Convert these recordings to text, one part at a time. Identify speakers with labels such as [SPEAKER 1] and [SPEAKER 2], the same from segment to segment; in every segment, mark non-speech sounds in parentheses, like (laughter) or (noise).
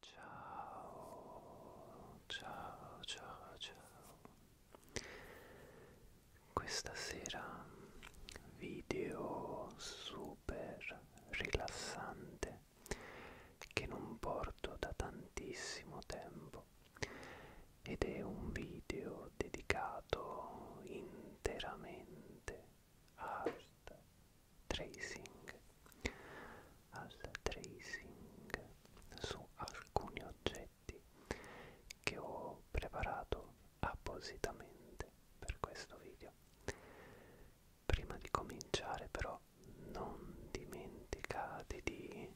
[SPEAKER 1] Ciao, ciao, ciao, ciao. Questa sera video super rilassante che non porto da tantissimo tempo ed è un video dedicato interamente art tracing al tracing su alcuni oggetti che ho preparato appositamente per questo video prima di cominciare però non dimenticate di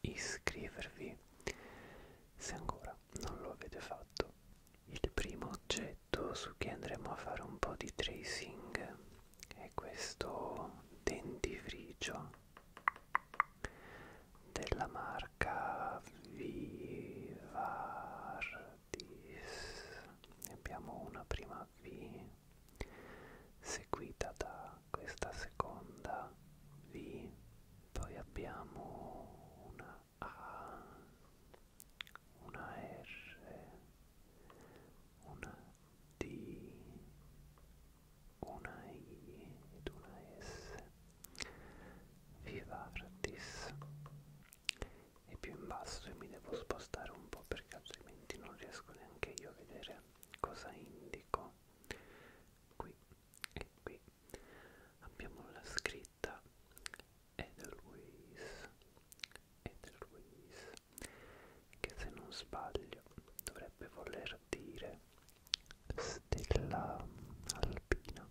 [SPEAKER 1] iscrivervi se ancora non lo avete fatto il primo oggetto su cui andremo a fare un po' di tracing è questo dentifricio della marca Vivardis. Ne abbiamo una prima V seguita da questa seconda V, poi abbiamo una a, una R, una D, una I ed una S. Vivartis. E più in basso e mi devo spostare un po' perché altrimenti non riesco neanche io a vedere cosa indico. Qui e qui abbiamo la scritta etichetta Edelweiss Edelweiss che se non sbaglio dovrebbe voler dire stella alpina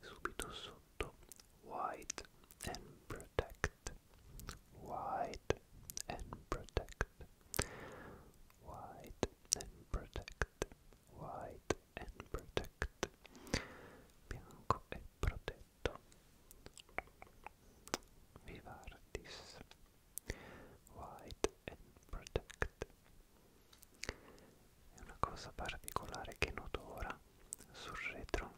[SPEAKER 1] subito sotto white and protect white and protect white and protect white and protect bianco e protetto Vivardis White and Protect e una cosa particolare che noto ora sul retro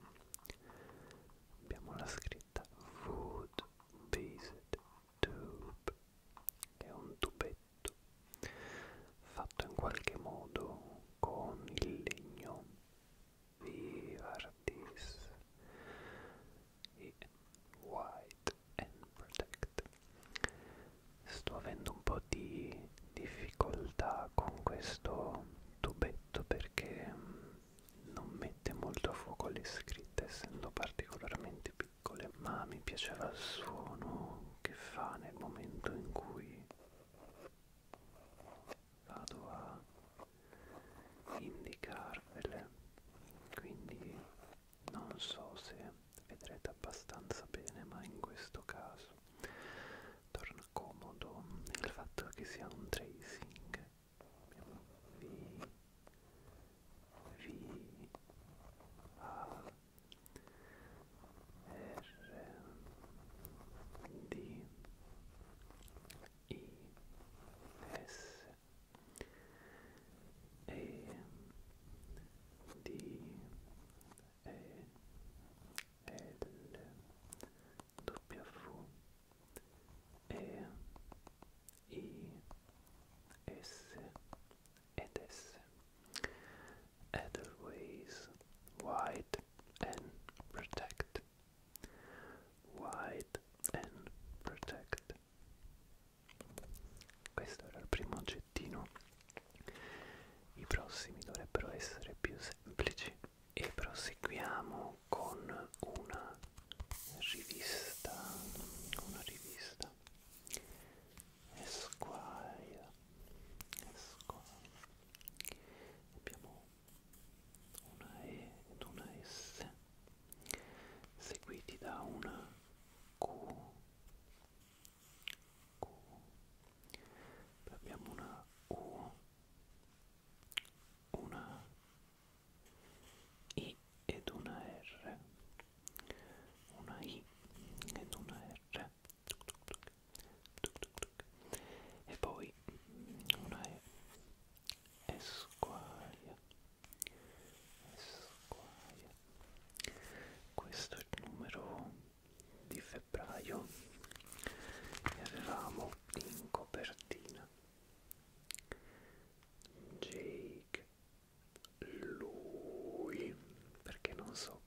[SPEAKER 1] abbiamo la scritta Wood Based Tube che è un tubetto oggetto fatto in qualche modo con il legno Vivardis e White and Protect. Sto avendo un po' di difficoltà con questo tubetto perché mm, non mette molto a fuoco le scritte essendo particolarmente piccole ma mi piaceva il suono che fa nel momento in cui vado a indicarvele quindi non so se vedrete abbastanza bene ma in questo caso torna comodo il fatto che sia un tracing v v a R D I S E D E L W E I S ed S Edelweiss, wide and protect. Wide and protect. Questo era il primo oggettino. I prossimi dovrebbero essere più semplici. E proseguiamo con una rivista. Una rivista e squaglia e squaglia abbiamo una E ed una S seguiti da una Q, Q. Poi abbiamo una U una I ed una R una I ed una R e poi una è Esquire Esquire questo è il numero di febbraio e avevamo in copertina Jake lui perché non so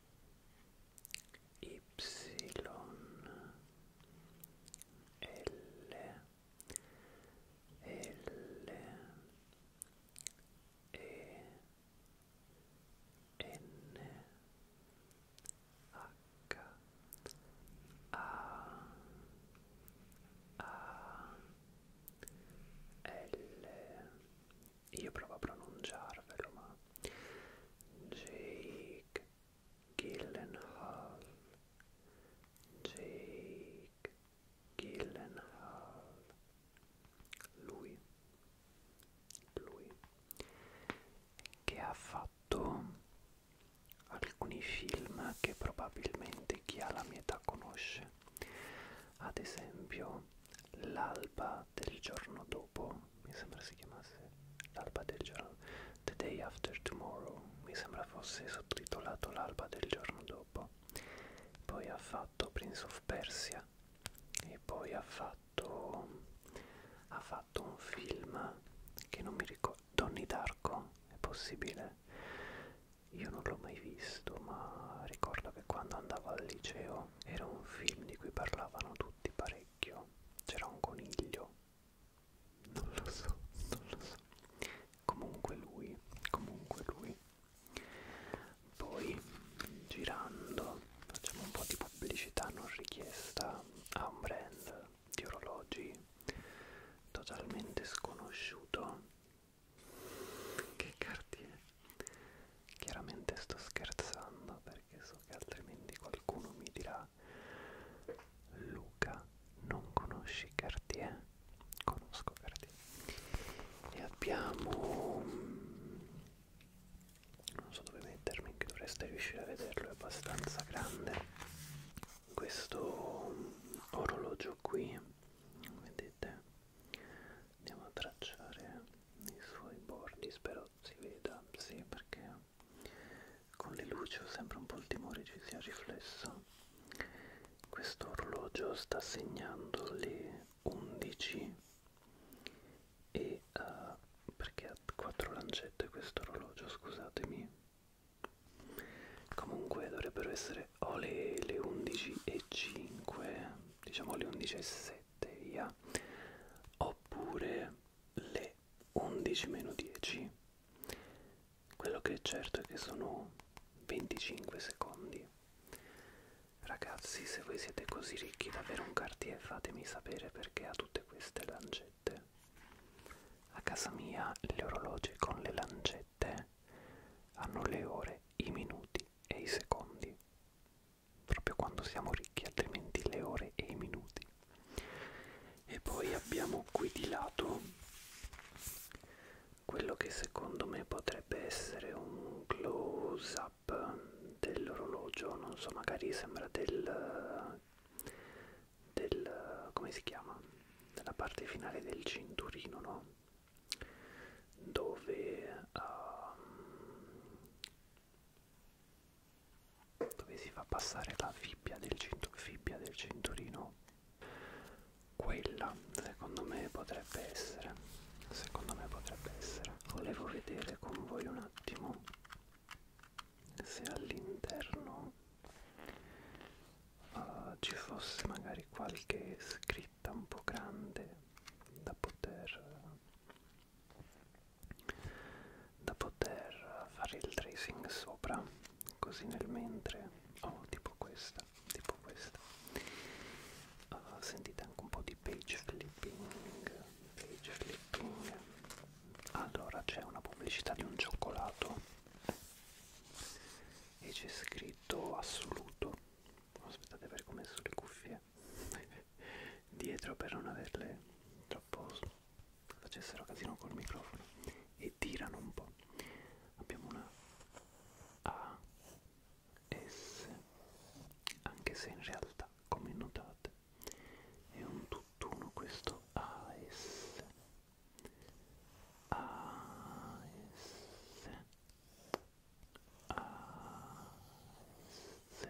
[SPEAKER 1] Y L L E N H A A L io provo a pronunciarvelo ma Jake Gyllenhaal, Jake Gyllenhaal, lui, lui, che ha fatto alcuni film che probabilmente chi ha la mia età conosce, ad esempio L'alba l'alba del giorno dopo, mi sembra si chiamasse l'alba del giorno, The Day After Tomorrow, mi sembra fosse sottotitolato l'alba del giorno dopo, poi ha fatto Prince of Persia e poi ha fatto, ha fatto un film che non mi ricordo, Donnie Darko, è possibile? Io non l'ho mai visto, ma ricordo che quando andavo al liceo era un film di cui parlavano tutti parecchio orecchio c'era un coniglio non lo so non lo so comunque lui comunque lui poi girando facciamo un po' di pubblicità non richiesta a un brand di orologi totalmente sconosciuto che cartier chiaramente sto scherzando perché so che altrimenti qualcuno mi dirà Luca, non conosci Cartier? Conosco Cartier. E abbiamo... Non so dove mettermi, che dovreste riuscire a vederlo, è abbastanza grande. Questo orologio qui, vedete? Andiamo a tracciare i suoi bordi, spero si veda, sì, perché con le luci ho sempre un po' il timore ci sia riflesso questo orologio sta segnando le 11 e uh, perché ha quattro lancette questo orologio scusatemi comunque dovrebbero essere o le, le 11 e 5 diciamo le 11 e 6 7 via oppure le 11 meno 10 quello che è certo è che sono 25 secondi ragazzi se voi siete così ricchi da avere un cartier fatemi sapere perché ha tutte queste lancette a casa mia gli orologi con le lancette hanno le ore i minuti e i secondi proprio quando siamo ricchi, altrimenti le ore e i minuti. E poi abbiamo qui di lato quello che secondo me potrebbe essere un close up dell'orologio, non so, magari sembra del del come si chiama? Della parte finale del cinturino, no? Dove um, dove si fa passare la fibbia del, fibbia del cinturino quella secondo me potrebbe essere secondo me potrebbe essere volevo vedere con voi un attimo se all'interno uh, ci fosse magari qualche scritta un po' grande da poter da poter fare il tracing sopra così nel mentre oh tipo questa tipo questa oh, sentite anche un po' di page flipping page flipping allora c'è una pubblicità di un cioccolato e c'è scritto assoluto aspettate perché ho messo le cuffie (laughs) dietro per non averle troppo facessero casino col microfono e tirano un po'. Abbiamo una A S anche se in realtà come notate è un tutt'uno questo A S A S A S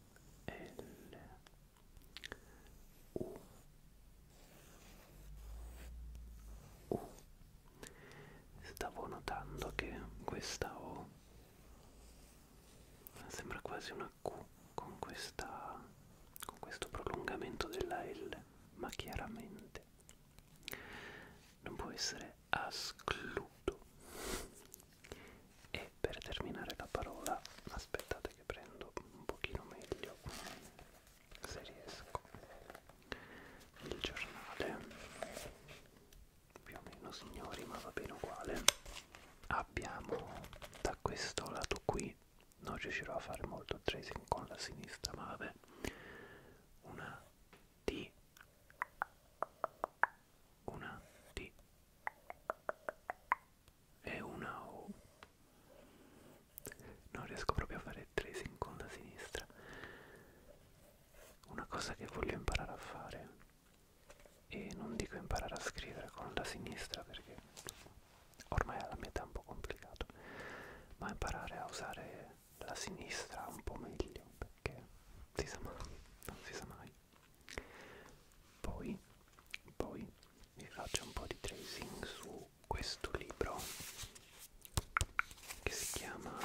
[SPEAKER 1] l U U Stavo notando che questa O sembra quasi una Q con questa con questo prolungamento della L, ma chiaramente non può essere ascludo e per terminare la parola aspettate che prendo un pochino meglio se riesco il giornale più o meno signori ma va bene uguale abbiamo da questo lato qui non riuscirò a fare molto tracing con la sinistra ma vabbè una D una T e una O. Non riesco proprio a fare tracing con la sinistra. Una cosa che voglio imparare a fare, e non dico imparare a scrivere con la sinistra perché ormai alla metà è un po' complicato, ma imparare a usare la sinistra un po' meglio perché si sa mai, non si sa mai. Poi, poi vi faccio un po' di tracing su questo libro che si chiama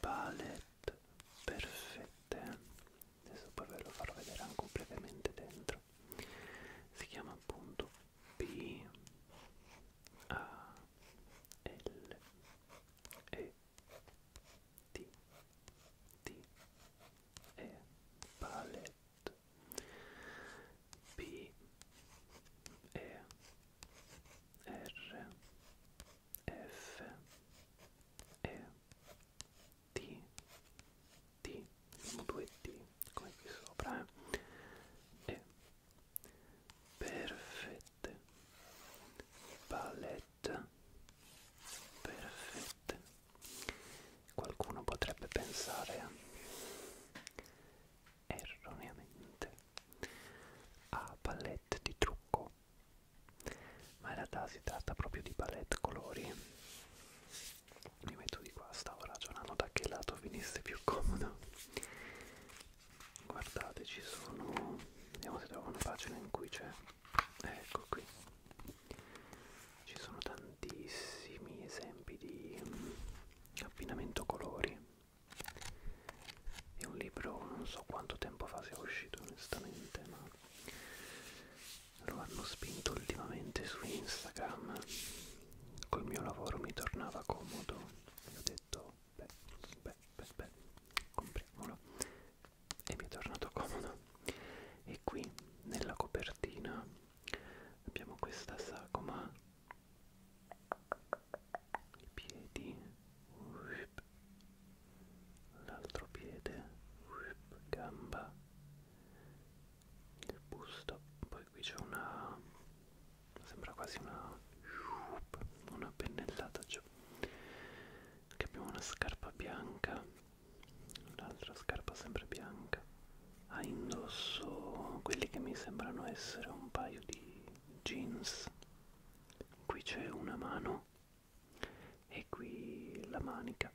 [SPEAKER 1] Palette Perfette. Adesso poi ve lo farò vedere anche brevemente dentro. Si chiama appunto P A L E T, T, E, palette, P, E, R, F, E, T, T, siamo due T come qui sopra, eh? E, perfette, palette, perfetta perfetta qualcuno potrebbe pensare erroneamente a palette di trucco ma in realtà si tratta proprio di palette colori mi metto di qua stavo ragionando da che lato venisse più comodo guardate ci sono vediamo se trovo una pagina in cui c'è ecco qui ci sono tantissimi esempi di mm, abbinamento colori è un libro non so quanto tempo fa sia uscito onestamente ma lo hanno spinto ultimamente su Instagram col mio lavoro mi tornava comodo e ho detto beh beh beh beh compriamolo e mi è tornato comodo e qui nella copertina abbiamo questa sagoma i piedi l'altro piede gamba il busto poi qui c'è una sembra quasi una una pennellata peggio che abbiamo una scarpa bianca un'altra scarpa sempre bianca ha ah, indosso quelli che mi sembrano essere un paio di jeans qui c'è una mano e qui la manica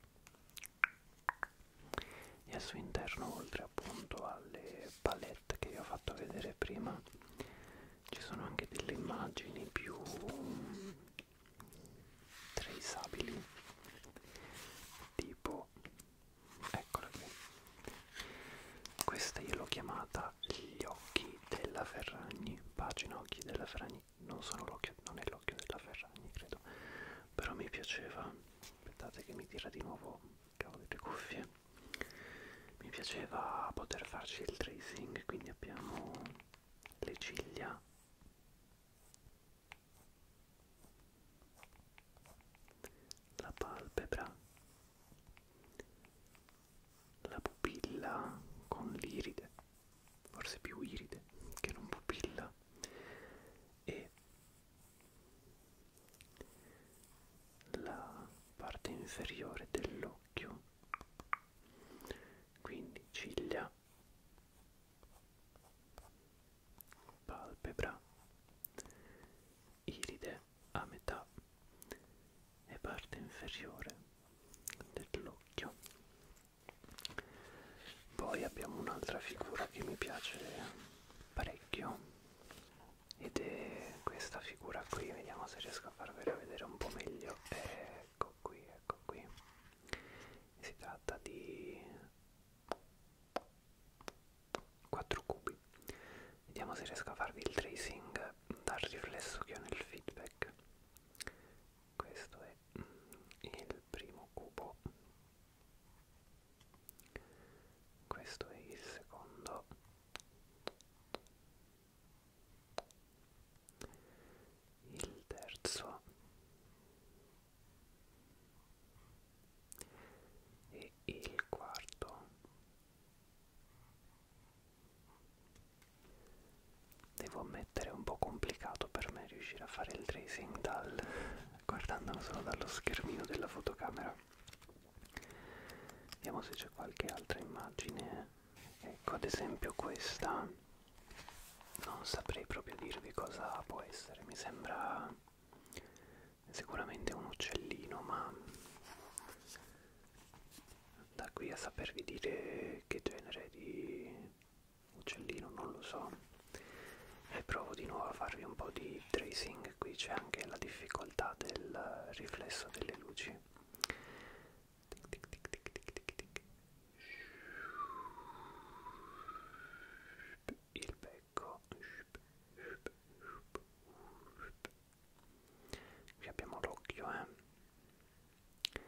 [SPEAKER 1] e al suo interno oltre appunto alle palette che vi ho fatto vedere prima ci sono anche delle immagini più traceabili tipo eccola qui questa io l'ho chiamata gli occhi della Ferragni pagina occhi della Ferragni non sono l'occhio non è l'occhio della Ferragni credo però mi piaceva aspettate che mi tira di nuovo il cavo delle cuffie mi piaceva poter farci il tracing quindi abbiamo le ciglia la palpebra la pupilla con l'iride forse più iride che non pupilla e la parte inferiore dell'occhio quindi ciglia palpebra iride a metà e parte inferiore dell'occhio poi abbiamo un'altra figura che mi piace parecchio ed è questa figura qui vediamo se riesco a farvela vedere un po' meglio è ecco qui, ecco qui. Si tratta di 4 cubi. Vediamo se riesco a farvi il tracing dal riflesso che ho nel feedback. Questo è mm, il primo cubo. Questo è il secondo il terzo e il quarto devo ammettere è un po' complicato per me riuscire a fare il tracing dal guardandolo solo dallo schermino della fotocamera vediamo se c'è qualche altra immagine ecco ad esempio questa non saprei proprio dirvi cosa può essere mi sembra sicuramente un uccellino ma da qui a sapervi dire che genere di uccellino non lo so e provo di nuovo a farvi un po' di tracing qui c'è anche la difficoltà del riflesso delle luci tic tic tic tic tic tic tic il becco qui abbiamo l'occhio eh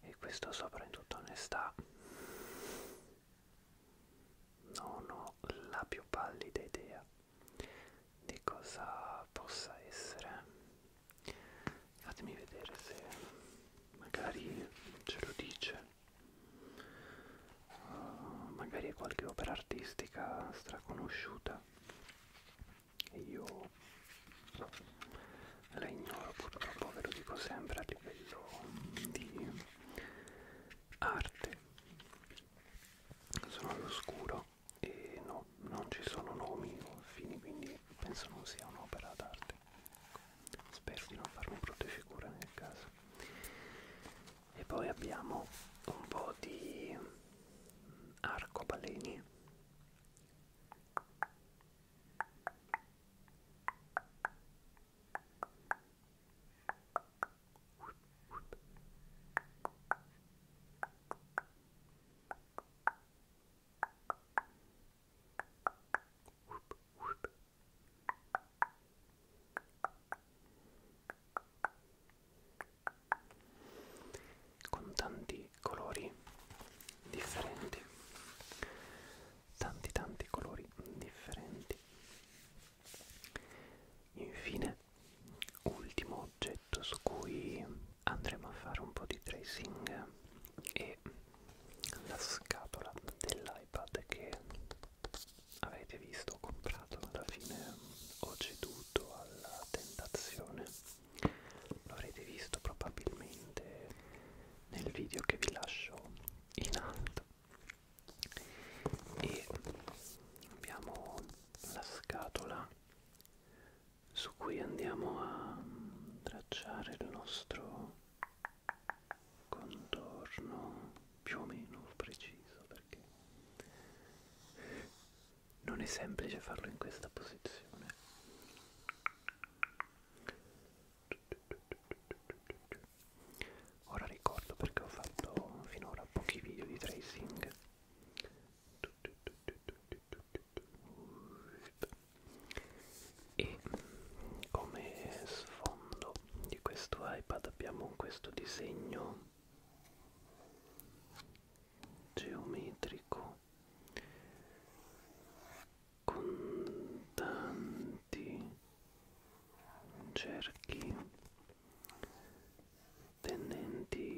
[SPEAKER 1] e questo sopra in tutta onestà non ho la più pallida idea di cosa possa essere fatemi vedere se magari ce lo dice uh, magari è qualche opera artistica straconosciuta e io la ignoro purtroppo ve lo dico sempre a livello di arte sono all'oscuro e no non ci sono nomi o affini, quindi penso non sia un'opera d'arte. Spero di non farmi brutte figure nel caso. E poi abbiamo un po' di arcobaleni con tanti colori differenti tanti tanti colori differenti infine ultimo oggetto su cui andremo a fare un po' di tracing e la scatola dell'iPad che avete visto ho comprato alla fine ho ceduto alla tentazione lo avrete visto probabilmente nel video che vi lascio in alto e abbiamo la scatola su cui andiamo a tracciare il nostro contorno più o meno preciso perché non è semplice farlo in questa posizione ora ricordo perché ho fatto finora pochi video di tracing e come sfondo di questo iPad abbiamo questo disegno geometrico con tanti cerchi tendenti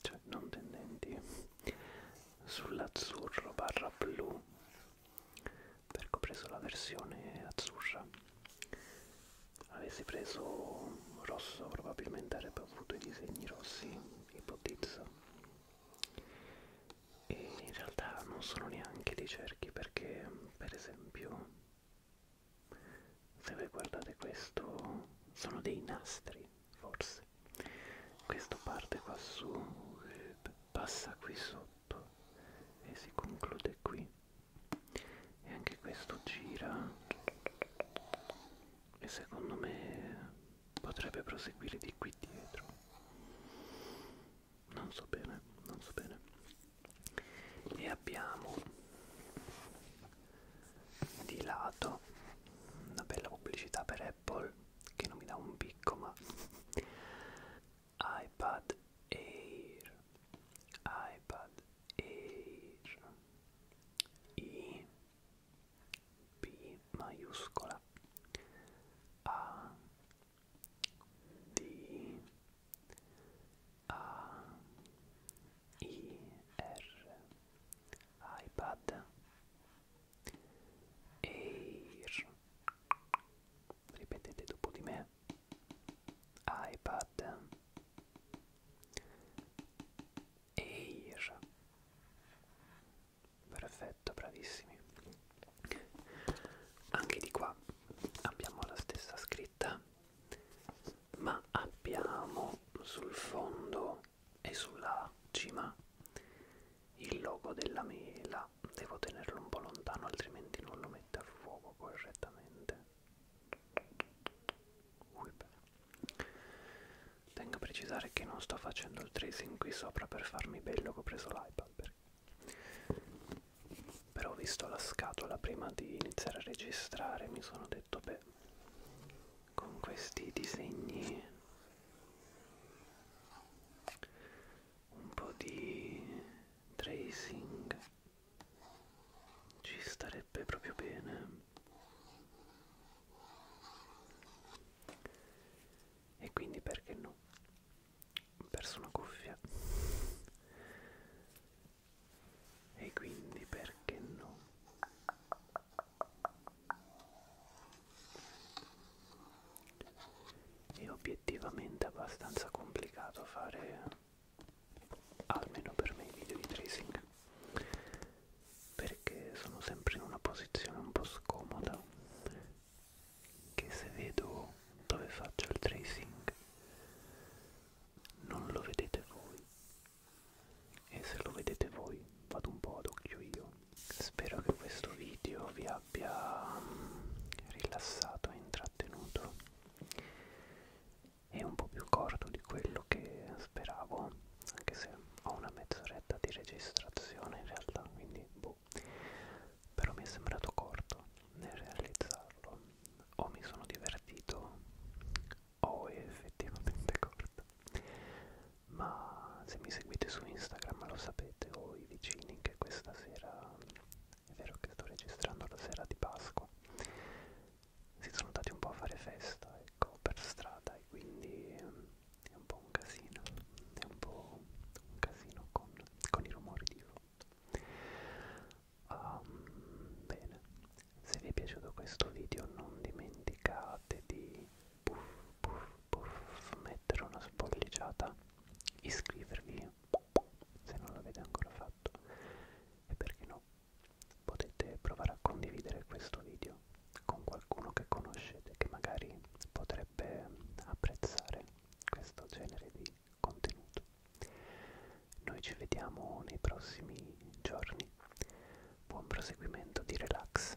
[SPEAKER 1] cioè non tendenti sull'azzurro barra blu perché ho preso la versione azzurra avessi preso rosso probabilmente avrebbe avuto i disegni rossi ipotizzo e in realtà non sono neanche dei cerchi perché per esempio se voi guardate questo sono dei nastri forse questo parte qua su e passa qui sotto e si conclude qui e anche questo gira e secondo me potrebbe proseguire di qui dietro non so bene non so bene e abbiamo di lato una bella pubblicità per Apple che non mi dà un picco ma (laughs) iPad Air iPad Air I B maiuscola A D A I R iPad Air ripetete dopo di me iPad Air perfetto bravissimi anche di qua abbiamo la stessa scritta ma abbiamo sul fondo e sulla cima il logo della mela devo tenerlo un po' lontano altrimenti non lo mette a fuoco correttamente Ui, tengo a precisare che non sto facendo il tracing qui sopra per farmi bello che ho preso l'iPad perché... però ho visto la scatola prima di iniziare a registrare mi sono detto beh con questi disegni un po' di tracing ci starebbe proprio bene e quindi perché no ho perso una cuffia e quindi perché no è obiettivamente abbastanza complicato fare almeno per me i video di tracing perché sono sempre in una posizione un po' scomoda che se vedo dove faccio il tracing non lo vedete voi e se lo vedete voi vado un po' ad occhio io spero che questo video vi abbia mm, rilassato e intrattenuto è un po' più corto di quello che speravo anche se ho una mezz'oretta di registrazione in realtà quindi boh però mi è sembrato corto nel realizzarlo o mi sono divertito o è effettivamente (laughs) corto ma se mi seguite su Instagram lo sapete o i vicini che questa sera, è vero che sto registrando la sera di Pasqua, si sono andati un po' a fare festa, ecco, per strada e quindi ehm, è un po' un casino, è un po' un casino con, con i rumori di fondo. Um, bene, se vi è piaciuto questo video non dimenticate di puff, puff, puff, mettere una spolliciata, iscrivervi se non l'avete ancora fatto e perché no potete provare a condividere questo video con qualcuno che conoscete che magari potrebbe apprezzare questo genere di contenuto noi ci vediamo nei prossimi giorni buon proseguimento di relax